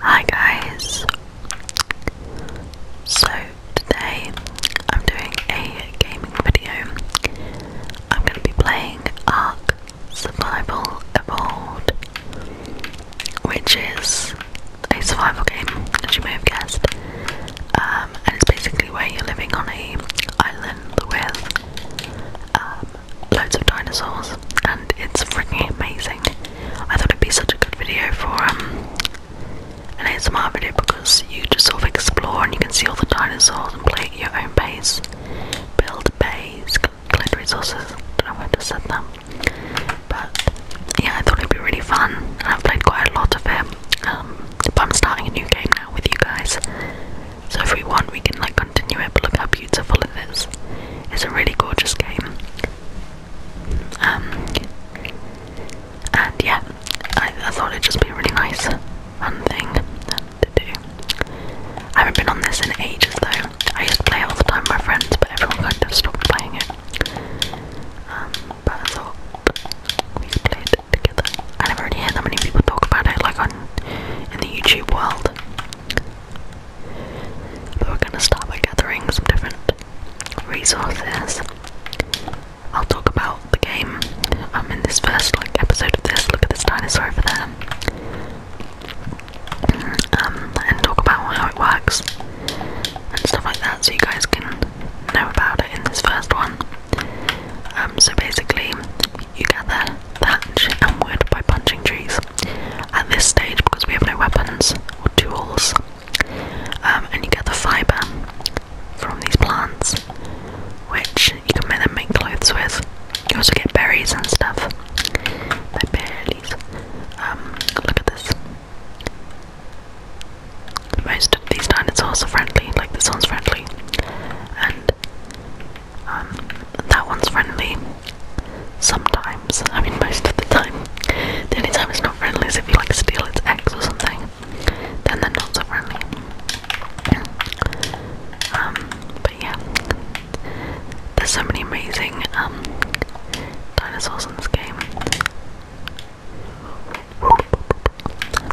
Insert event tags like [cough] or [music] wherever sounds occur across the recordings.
Hi guys! So today I'm doing a gaming video. I'm going to be playing Ark Survival Evolved, which is a survival game, as you may have guessed. Um, and it's basically where you're living on a island with um, loads of dinosaurs, and it's freaking amazing. I thought it'd be such a good video for um, an ASMR video because you just sort of explore and you can see all the dinosaurs and play at your own pace. Build base, collect resources. I don't know if I just said that. But yeah, I thought it'd be really fun I've played quite a lot of it. Um, but I'm starting a new game now with you guys. So if we want, we can like continue it. But look how beautiful it is! It's a really gorgeous game. Um, and yeah, I, I thought it'd just be really nice, fun thing to do. I haven't been on this in ages though. I used to play all the time with my friends, but everyone kind of stopped playing it. Um, but I thought we could together. I never really hear that many people talk about it, like on in the YouTube world we're gonna start by gathering some different resources. I'll talk about the game um, in this first like episode of this. Look at this dinosaur over there, um, and talk about how it works and stuff like that, so you guys can know about it in this first one. Um, so basically, you gather thatch and wood by punching trees at this stage because we have no weapons or tools. Um, and you get the fibre from these plants, which you can then make clothes with. You also get berries and stuff. they berries. Um, look at this. Most of these dinosaurs are friendly, like this one's friendly, and um, that one's friendly, Sometimes, I mean most of the time. The only time it's not friendly is if you like steal its eggs or something. Then they're not so friendly. Um, but yeah. There's so many amazing um, dinosaurs in this game.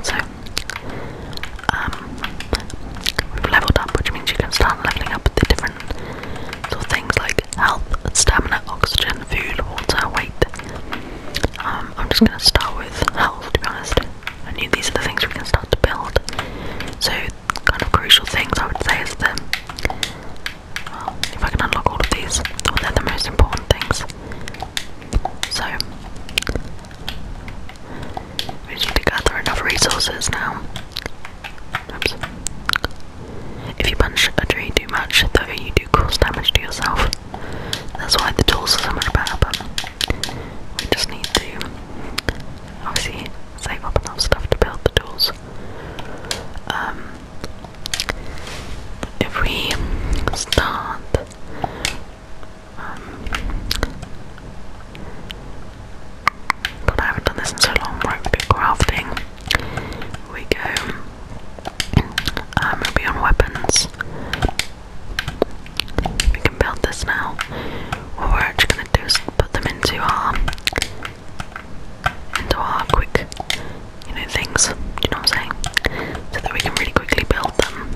So um have leveled up, which means you can start leveling up the different sort of things like health, stamina, oxygen, food, water, weight. Um, I'm just gonna start with health to be honest. I knew these are the things we can start to build. So kind of crucial things I would say is them. if I can unlock all of these, well, they're the most important things. So we need to gather enough resources now. If you punch a tree too much, though, you do cause damage to yourself. That's why the tools are so much better, we just need to obviously save up enough stuff to build the tools. Um, if we start. Um, God, I haven't done this in so long. Right, we go crafting. We go. Um, we weapons. We can build this now. What we're actually gonna do is put them into our into our quick, you know, things. you know what I'm saying? So that we can really quickly build them.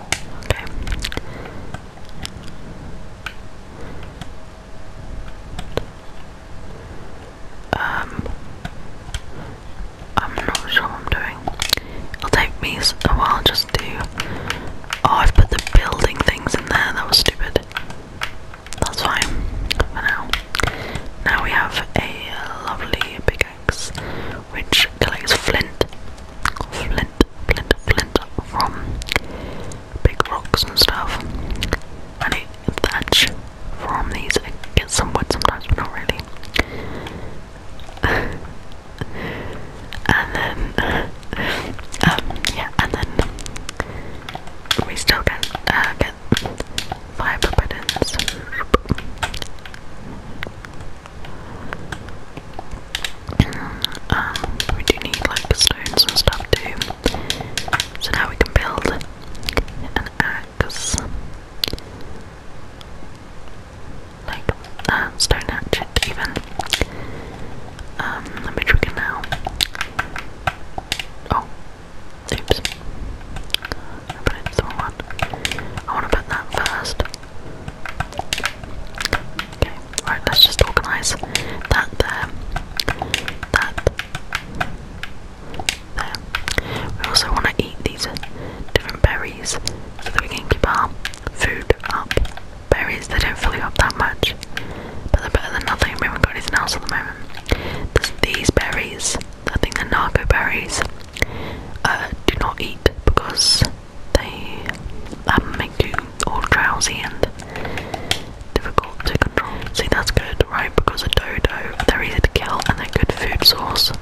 Okay. Um, I'm not sure I'm doing. It'll take me a while just do. Oh, I've put the building things in there. That was stupid. That's fine for now. Now we have a lovely pickaxe which collects flint, flint, flint, flint from big rocks and stuff. I need the edge from these. I get some wood sometimes, but not really. and then, um, yeah, and then we still can uh, get fiber buttons. Um, we do need like stones and stuff too. So now we can build an axe. Like a stone hatchet even. Um, which we can now Oh. Oops. put it the wrong one. I wanna put that first. Okay, right, let's just organise that there that. There. We also want to eat these different berries so that we can keep our food up. Berries, they don't fill you up that much, but they're better than nothing. We haven't got anything else at the moment. There's these berries, I think they're narco berries, uh, do not eat because they um, make you all drowsy and difficult to control. See, that's good, right? Because a dodo, they're easy to kill and they're good food source.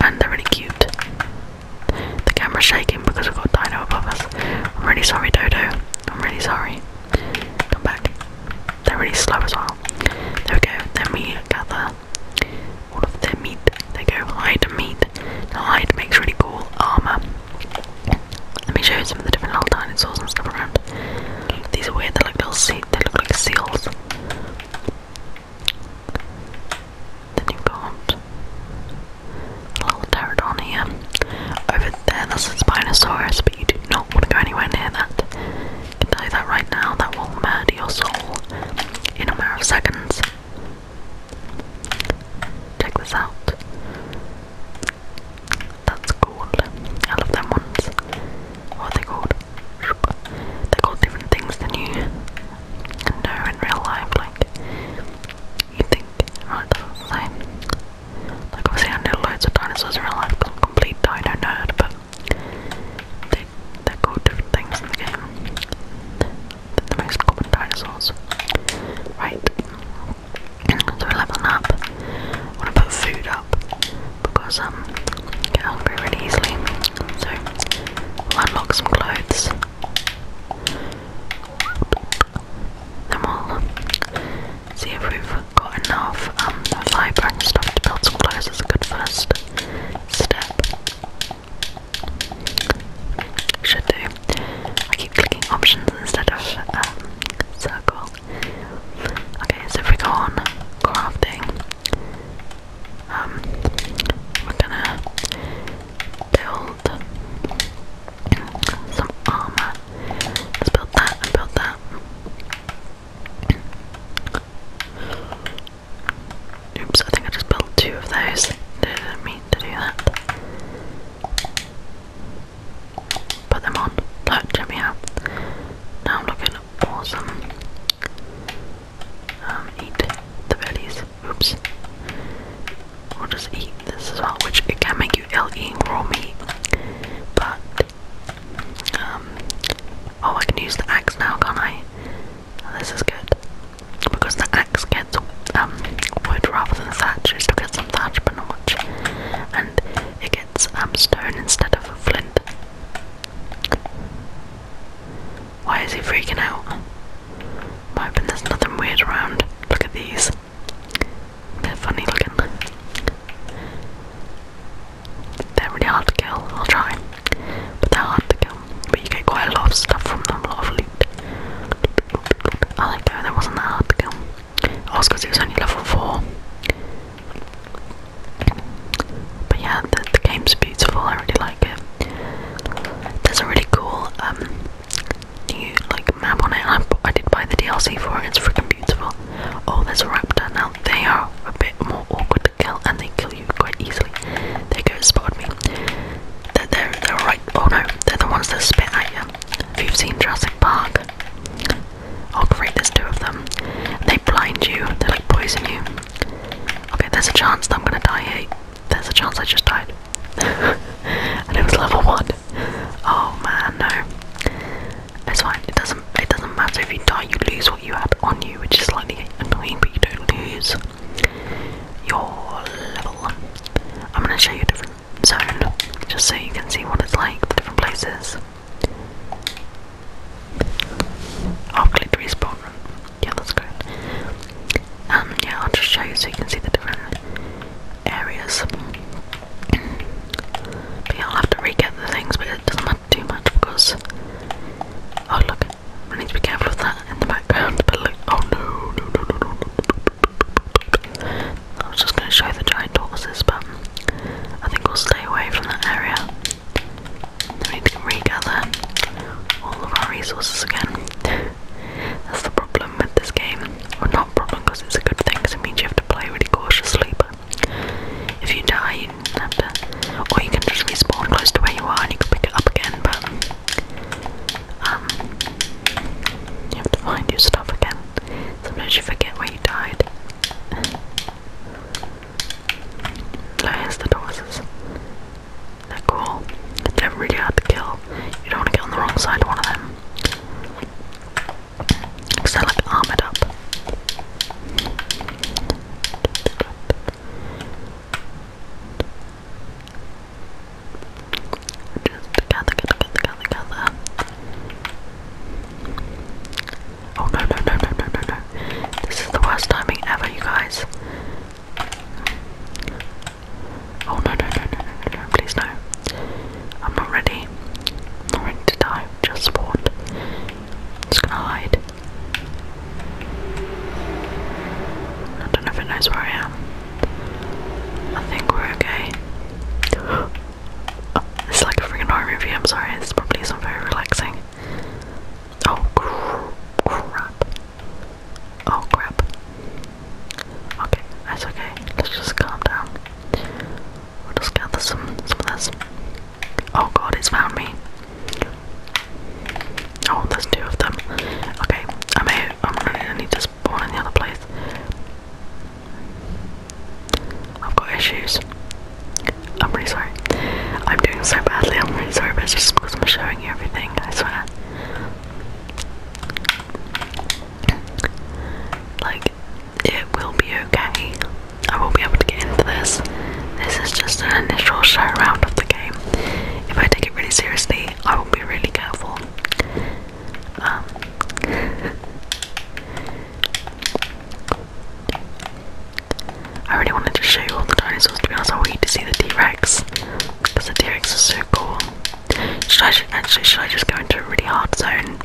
And they're really cute. The camera's shaking because we've got Dino above us. I'm really sorry, Dodo. I'm really sorry. Come back. They're really slow as well. There we go. Then we gather all of their meat. They go hide meat. The hide makes really cool armor. Let me show you some of the different little dinosaurs and stuff around. These are weird, they look, like seals. Then you got a little pterodon Over there, that's a Spinosaurus, but you do not want to go anywhere near that. I can tell that right now, that will murder your soul in a matter of seconds. Check this out. That's cool. I love them ones. What are they called? They're called different things than you know in real life. Like, you think, oh, it doesn't say. I know loads of dinosaurs in real life complete dino nerd, but they, they're different things in the game. the most common dinosaurs. Right. So we're leveling up. I want to put food up because um, I get hungry really easily. So we'll unlock some clothes. Then we'll see if we've got enough um, fibre stuff to build some clothes as a good first step. Should do. I keep clicking options instead of um, circle. Okay, so if we go on crafting, um, we're gonna build some armor. Let's build that and build that. Oops, I think I just built two of those. Didn't mean to do that. Put them on. Look, check me out. Now I'm looking awesome. Um, eat the bellies. Oops. We'll just eat this as well, which it can make you ill eating raw But um, oh, I can use the axe now, can't I? This is good because the axe gets um wood rather than thatch. It's because I'm thatch, but not much it gets um, stone instead of a flint. Why is he freaking out? I'm there's nothing weird around. Look at these. They're funny looking. They're really hard to kill, I'll try. But they're hard to kill. But you get quite a lot of stuff from them, a lot of loot. I like that, that wasn't that hard to kill. Oh, it's because he was only level 4. But yeah, the, the game's beautiful, I really like it. There's a really cool um, new like map on it, I, I did buy the DLC for it, it's freaking beautiful. Oh, there's a raptor, now they are a bit more awkward to kill and they kill you quite easily. There goes, spotted me. They're, they're, they're right, oh no, they're the ones that spit at you. If you've seen Jurassic Park, Oh great, there's two of them. They blind you, they like poison you. Okay, there's a chance that I'm gonna die here. Eh? There's a chance I just died. [laughs] and it was level one. Oh man, no. It's fine, it doesn't it doesn't matter if you die, you lose what you had on you, which is slightly annoying, but you don't lose your level. I'm gonna show you a different so, just so you can see what it's like, the different places. I'll click Yeah, that's good. Um, yeah, I'll just show you so you can see the different areas. yeah, I'll have to re the things, but it doesn't matter too much because. Oh look, I need to be careful of that in the background. But look, oh no. I was just going to show the giant tortoises, but I think we'll stay away from that area. Then we can regather all of our resources again. That's the problem with this game. Well, not problem because it's a good thing, because it means you have to play really cautiously. But if you die, you have to, or you can just respawn close to where you are and you can pick it up again. But um, you have to find your stuff again. Sometimes you forget where you died. No, here's the doses. They're cool. They're really hard to kill. You don't want to get on the wrong side of one of them. Because they're like armoured up. Oh no, no, no, no, no, no, This is the worst timing ever, you guys. Oh no, no, no, no, no, please no. I'm not ready. not ready to die. Just spawned. Just gonna hide. I don't know if it knows where I am. I think we're okay. This is like a freaking horror movie. I'm sorry, this probably isn't very relaxing. Oh crap! Oh crap! Okay, that's okay. Let's just calm down. We'll just gather some some of this. Oh god, it's found me. Oh, there's two of them. Okay, I may I'm gonna need to spawn in the other place. I've got issues. I'm really sorry. I'm doing so badly, I'm really sorry, but it's just because I'm showing you everything, I swear. Like, it will be okay. I will be able to get into this. This is just an initial show around of the game. If I take it really seriously, I will be really careful. Um, [laughs] I really wanted to show you all the dinosaurs. To be honest, I want you to see the T-Rex because the T-Rex is so cool. Should I actually? Should I just go into a really hard zone?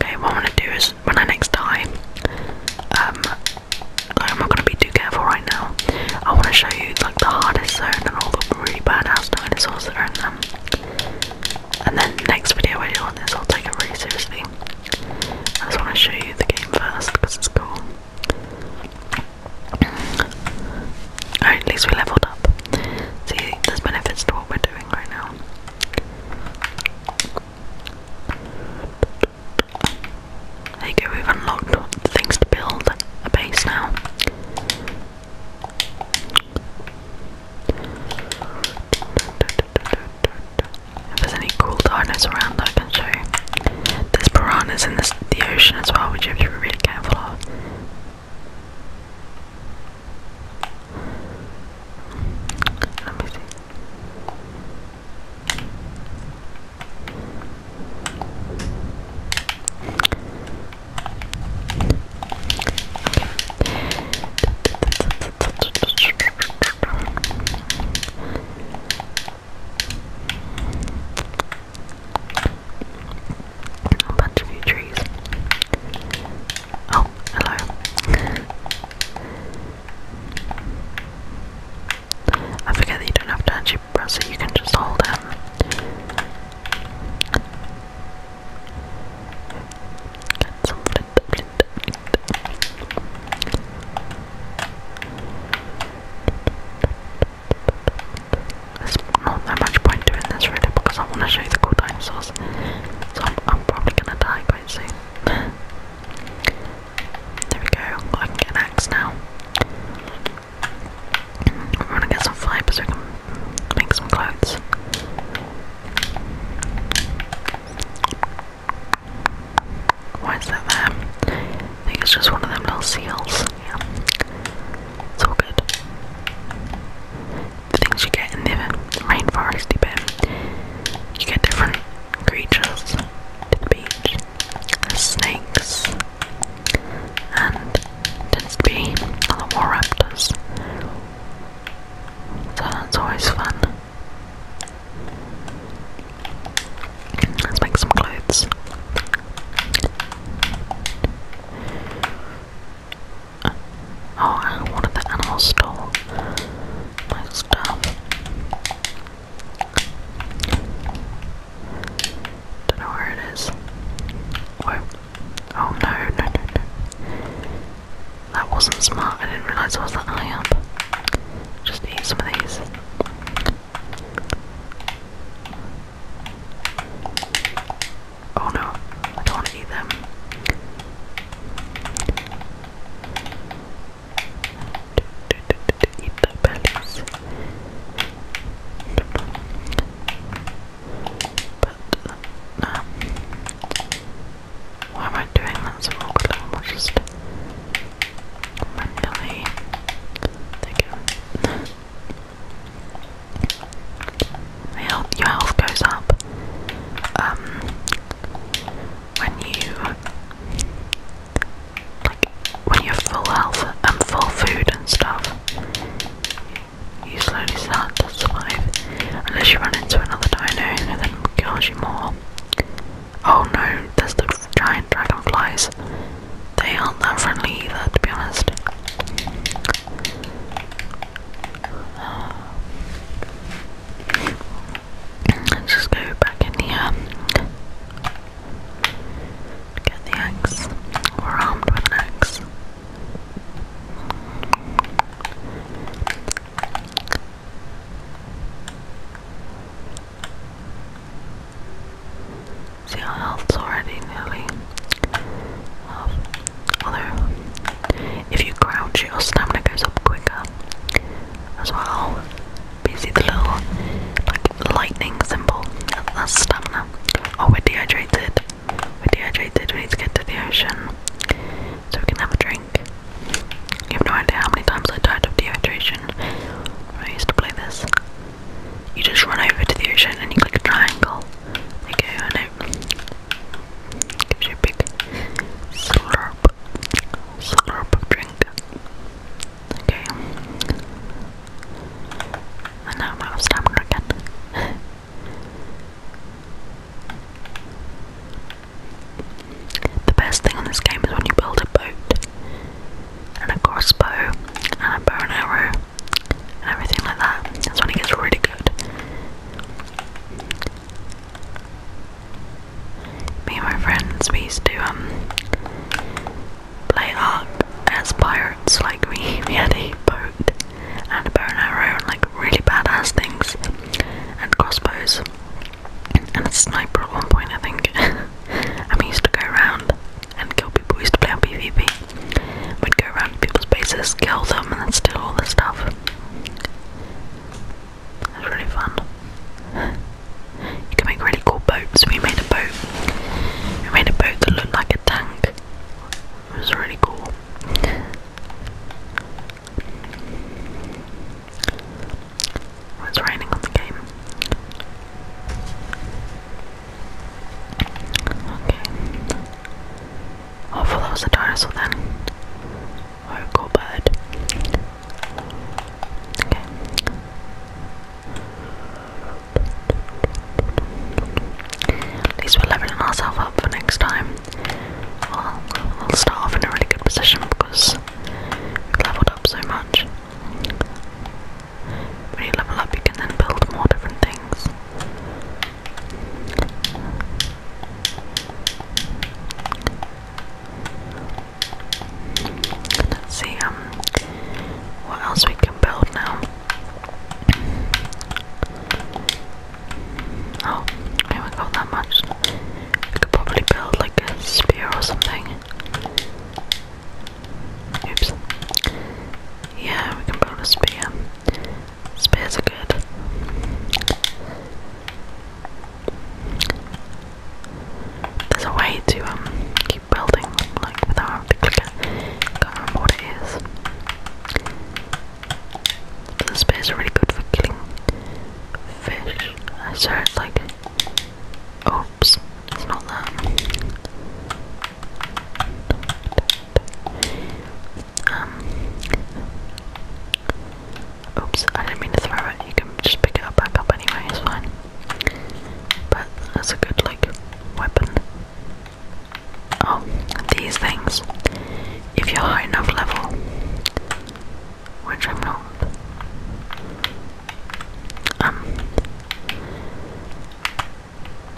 Okay, what I'm gonna do is when I next time, um, I'm not gonna be too careful right now. I want to show you like the hardest zone and all the really badass dinosaurs that are in them. And then next video I do on this, I'll take it really seriously. I just want to show you the game first because it's cool. Alright, at least we leveled up. See, there's benefits to what we're doing right now. There you go, we've unlocked things to build a base now. If there's any cool dinos around, I can show you. There's piranhas in the ocean as well, which you have to be really careful of. A bunch of new trees. Oh, hello. I forget that you don't have to actually press it, you can just hold it. Get not that much point doing this really because I want to show you the cool dinosaurs. So I'm, probably going to die quite soon. there we go, I can get an axe now. I want to get some fibre make some clothes. Why is that there? I think it's just one of them little seals. Yeah. It's all good. The things you get in the rainforesty bit. You get different creatures snakes and tends to be a lot more raptors. So that's always fun. Let's make some clothes. Uh, oh, one of the animals stole my stuff. Don't know where it is. Oh no, no, no, no. That wasn't smart. I didn't realise I was that high up. Just eat some of these. Oh no, don't eat them. Eat the bellies. But, no. Um, why am I doing that so awkwardly? I'll just manually [laughs] your health goes up um, when you like when you're full health and full food and stuff. You slowly start to survive, unless you run into another dino and then kills you more. Oh no, there's the giant dragonflies. They aren't that friendly either, to be honest. Let's just go back in here. Get the axe. We're armed with an See how health's already nearly half. Although, if you crouch, your stamina goes up quicker as well. you see the little like lightning symbol? That's stamina. Oh, we're dehydrated. We're dehydrated, we need to get to the ocean so we can have a drink. You have no idea how many times I died of dehydration I used to play this. You just run over to the ocean and you click triangle. There you go, gives you a big slurp, slurp drink. Okay. And now I'm out of stamina [laughs] The best thing on this game is when you build a boat and a crossbow and a bow and arrow and everything like that. That's when it gets really good. Me and my friends, we used to um play as pirates. Like we, [laughs] we had a boat and a bow and arrow and like really badass things and crossbows and a sniper at one point I think [laughs] and we used to go around and kill people, we used to play on PvP we'd go around people's bases, kill them and then steal all their stuff it was really fun you can make really cool boats, we made a boat we made a boat that looked like a tank it was really cool it's raining on the game. Okay. Oh, Hopefully that was a dinosaur then. Or oh, a cool bird. Okay. At least we're leveling ourselves up for next time. we'll start off in a really good position because we've leveled up so much. When you level up, you can then build more different things. Let's see um what else we can build now. Oh, haven't got that much. We could probably build like a spear or something. Oops. Yeah, we can build a spear. Spears are good. There's a way to um keep building like without having to click it. Can't remember what it is. This spears is really good for killing fish. I saw it's like. Oops, it's not that. Um, oops, I didn't mean to throw it. You can just pick it up back up anyway, it's fine. But that's a good, like, weapon. Oh, these things. If you're high enough level, which I'm not. Um,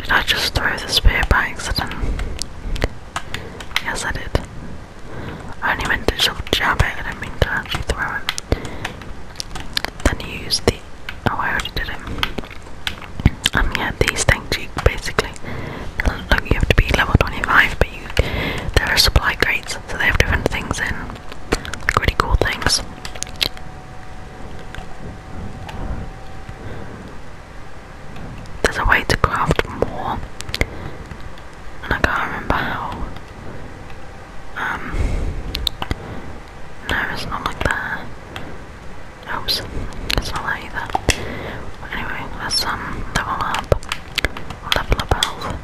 did I just throw the spear by accident? Yes, I did. I only meant to just jab it, I didn't mean to actually throw it. Then you use the. Oh, I already did it. Um, yeah, these things basically like you have to be level 25, but you there are supply crates, so they have different things in, Pretty cool things. There's a way to craft more, and I can't remember how. Um, no, it's not like that. Oops, it's not that either. Anyway, let's um, level up. Level up health.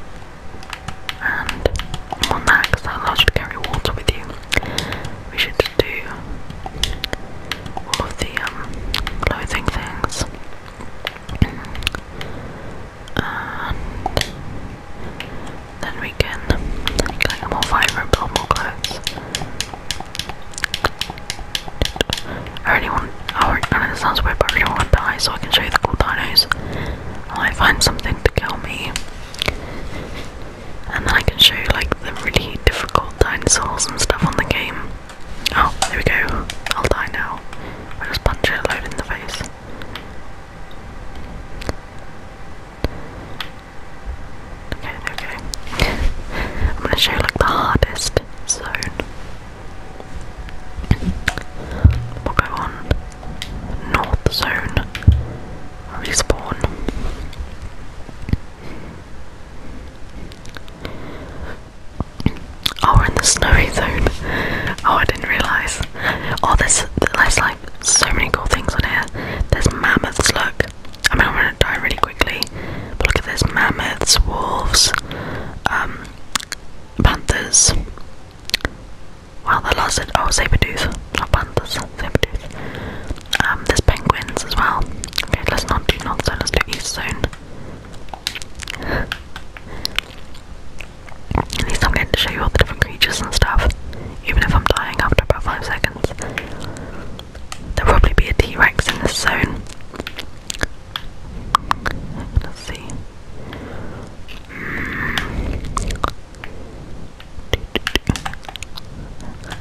And one max that allows carry water with you. We should do all of the um, clothing things. And then we can get more fiber build more clothes. I really want, oh, I know this sounds weird, but I really want to die so I can show you the cool dinos. I find something to kill me. And then I can show you like the really difficult dinosaurs and stuff on the game. Oh, there we go. I'll die now. I just punch it a in the face. Okay, okay. I'm gonna show you like the hardest zone. We'll go on north zone. Respawn. Oh, we're in the snowy zone. Oh, I didn't realise. Oh, there's, there's like so many cool things on here. There's mammoths, look. I mean, I'm gonna die really quickly. But look at this: mammoths, wolves, um, panthers. Wow, that lasted. Oh, saber tooth, not panthers, saber tooth. Um, there's penguins as well. Okay, let's not do not zone. Let's do east zone. At least I'm going to show you all the different creatures and stuff, even if I'm dying after about five seconds. There'll probably be a T-Rex in this zone. Let's see.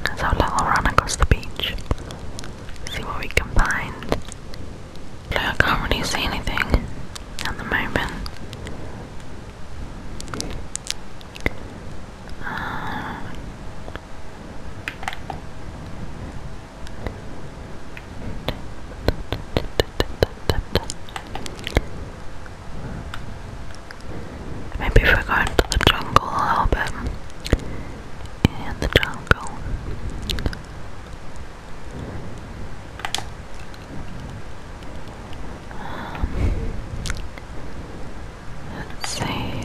Let's run across the beach. See what we can find. Look, I can't really see anything at the moment. Uh, Maybe if we go into the jungle a little bit. In the jungle. Um, Let's see.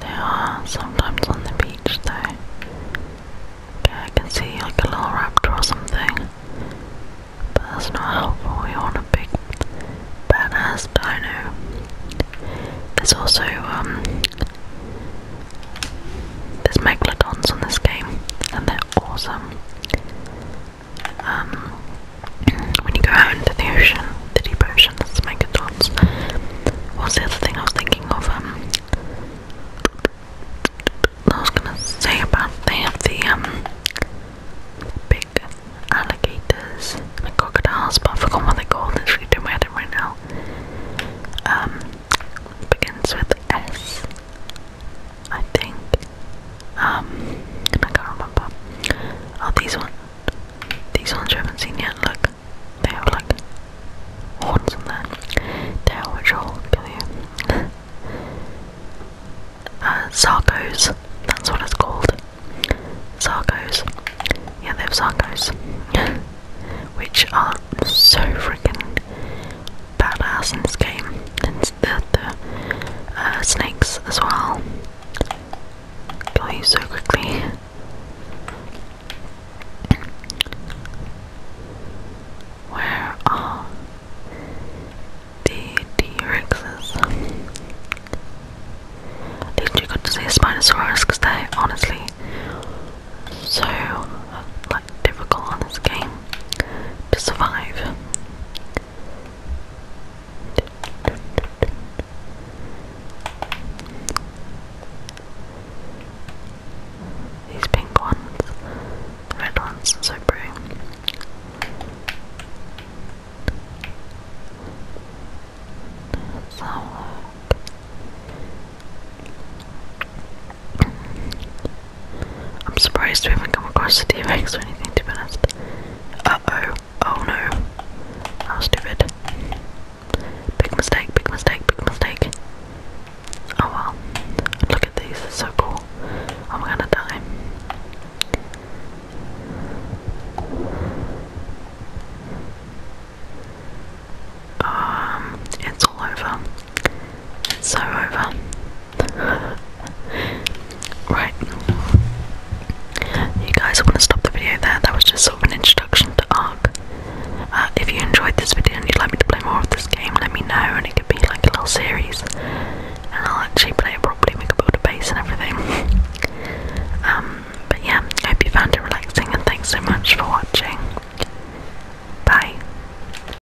They are sometimes on the beach though. Okay, I can see like a little raptor or something. But that's not helpful, we want a big badass But I know There's also um, there's megalodons on this game and they're awesome um, when you go out into the ocean, the deep ocean, that's my What's the other thing I was thinking of? Um, I was gonna say about they have the um, big alligators and crocodiles, but I forgot what they're called. It's really doing my head right now. Um, begins with S. I think. Um, I can't remember. Oh, these ones. These ones you haven't seen yet. Look, they have like horns on their tail, which will kill you. That's what it's called. Sarcos. Yeah, they have sarcos, [laughs] which are so freaking badass in this game against the, uh, snakes as well. Kill you so quickly. Where are the T-Rexes? Literally got to say Spinosaurus because they honestly so difficult on this game to survive. These pink ones, red ones, so pretty. let I'm surprised we haven't come across the t or anything, to be honest. Uh-oh. Oh no. How stupid. Big mistake, big mistake, big mistake. Oh well. Look at these, they're so cool. I'm gonna die. Um, it's all over. It's so over. [laughs] right. You guys, want to stop the video there. That was just sort of an introduction to Ark. Uh, if you enjoyed this video and you'd like me to play more of this game, let me know, and it could be like a little series. And I'll actually play properly. We could build a base and everything. [laughs] Um, but yeah, hope you found it relaxing, and thanks so much for watching. Bye.